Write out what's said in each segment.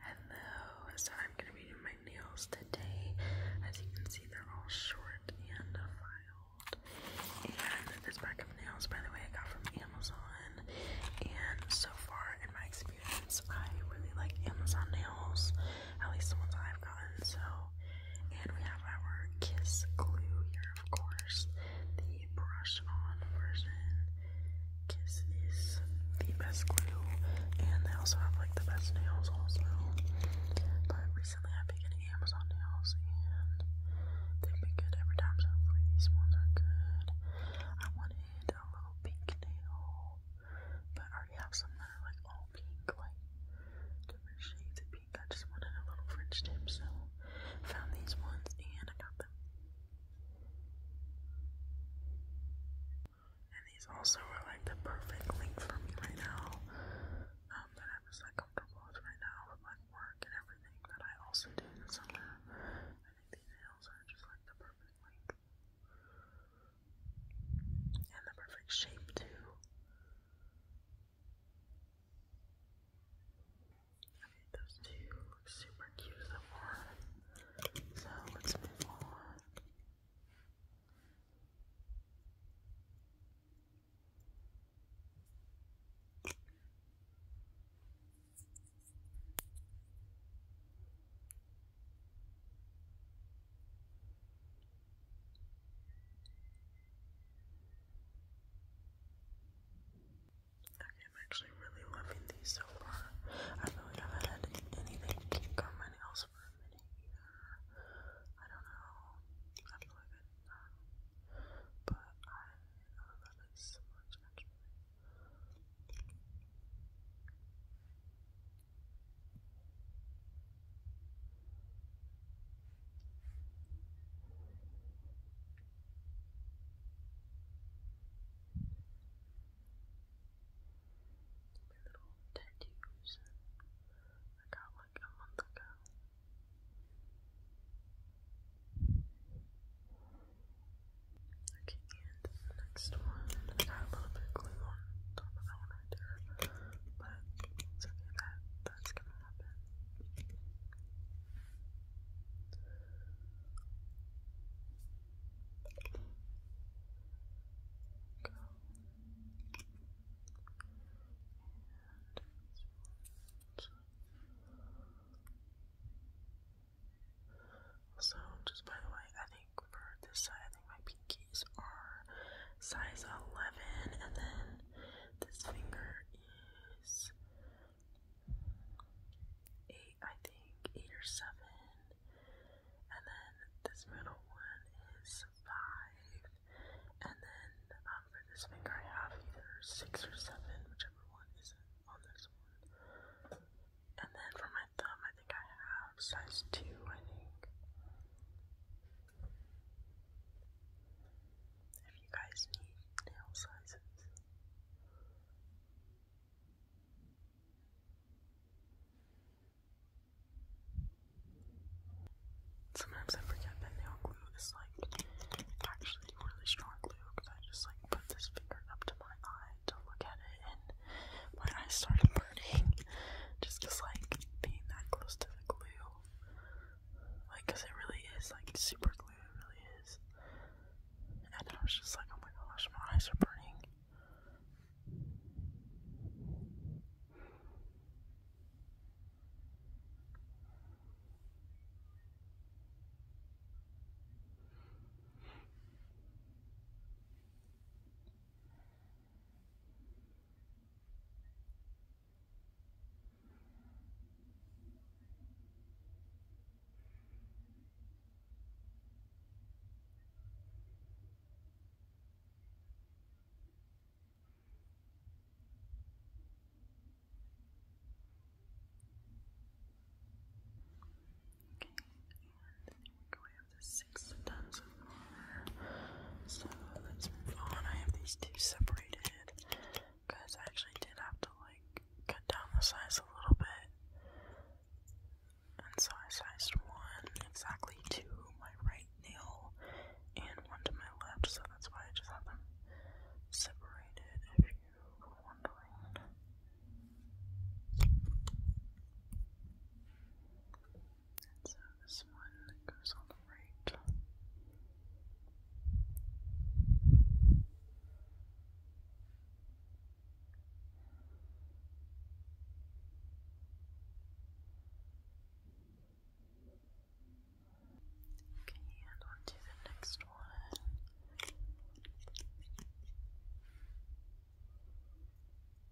Hello, so I'm gonna be doing my nails today. As you can see, they're all short and filed. And this pack of nails, by the way, I got from Amazon. And so far, in my experience, I really like Amazon nails, at least the ones I've gotten. So, and we have our Kiss Glue here, of course, the brush on version. Kiss is the best glue, and they also have like the best nails also. But recently I've been getting Amazon nails, and they've been good every time. So hopefully these ones are good. I wanted a little pink nail, but I already have some that are like all pink, like different shades of pink. I just wanted a little French tip, so found these ones and I got them. And these also are like the perfect length for me right now. Um, that I'm just like comfortable with right now with like work and everything that I also do I think these nails are just like the perfect length. And the perfect shape too. Okay, those two look super cute so far. So let's move on. I'm actually really loving these so far. I feel like I haven't had anything come my nails for a minute either. I don't know. I feel like I don't know. But I love this so much actually. My little tattoos I got like a month ago. Okay, next one, I got a little bit of glue on top of that one but it's that, that's gonna happen. So just by the way, I think for this side, I think my pinkies are size 11, and then this finger is eight, I think, eight or seven. And then this middle one is five. And then um, for this finger, I have either six or seven, whichever one isn't on this one. And then for my thumb, I think I have size two, I think. If you guys need nail sizes. Sometimes I forget that nail glue is like actually really strong glue because I just like put this finger up to my eye to look at it and when I started burning just because like being that close to the glue well. Like, cause it really is like super glue. It really is. And I was just like, oh my gosh, my eyes are burning. Okay, and we're going the six tons of armor. So let's I have these two separated because I actually did have to like cut down the size a little bit. And so I sized one exactly to my right nail and one to my left, so that's why I just have them separated if you were wondering. And so this one goes on the right. Okay, and on the next one.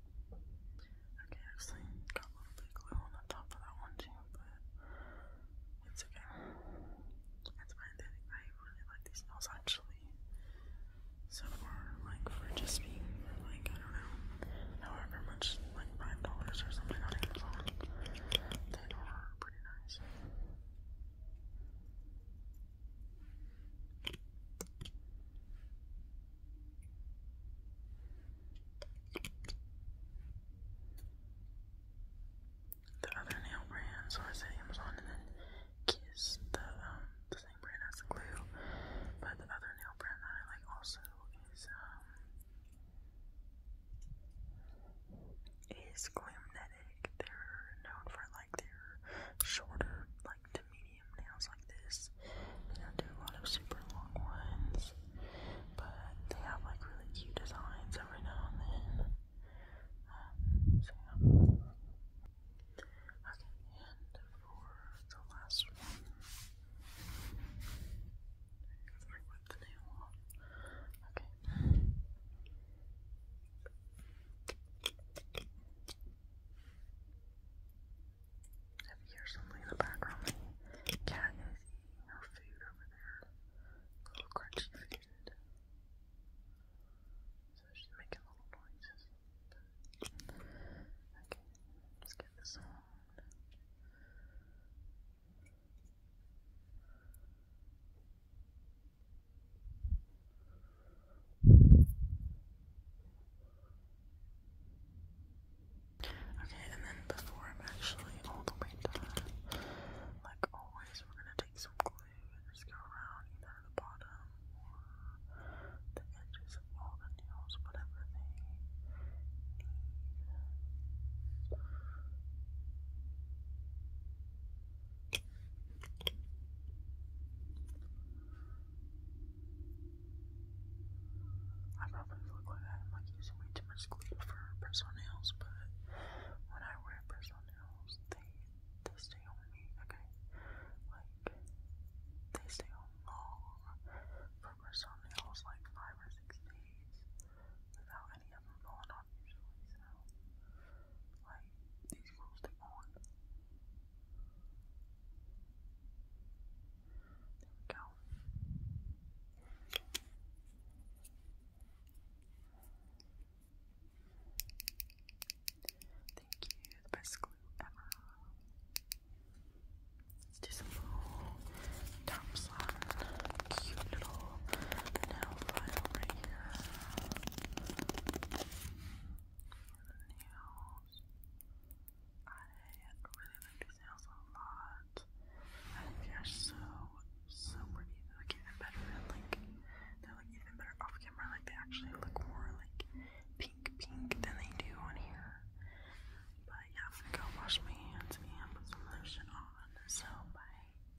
Okay, actually got a little bit glue on the top of that one too, but it's okay. That's fine. I really like these nails actually. So far, like for just being like I don't know, however much, like five dollars or something on Amazon, they are pretty nice. The other nail brand, so I said Amazon and then Kiss, the um the same brand as the glue. But the other nail brand that I like also is um is Glamnetic. They're known for like their shorter, like medium nails like this. They don't do a lot of super long ones, but they have like really cute designs every now and then. Um, okay, and for the last one, I ripped the nail off. Okay. If you hear something in the background, the cat is her food over there. Little crunchy food. So she's making little noises. Okay, let's get this on. Okay, and then before I'm actually all the way done, like always, we're gonna take some glue and just go around either the bottom or the edges of all the nails, whatever they need probably look like I'm like using way too much glue for personal nails, but when I wear personal nails, they they stay on me, okay? Like they stay on long for personal nails, like five or six days without any of them falling off usually. So like He's close to on. There we Thank you, the best glue ever. Let's do some little cute little nail file right here nails. I really like these nails a lot. think they're so, so pretty. They're like even better than like, they're even better off camera. Like they actually look more like pink pink than they do on here. But yeah, I'm to wash my hands and put some lotion on. So bye.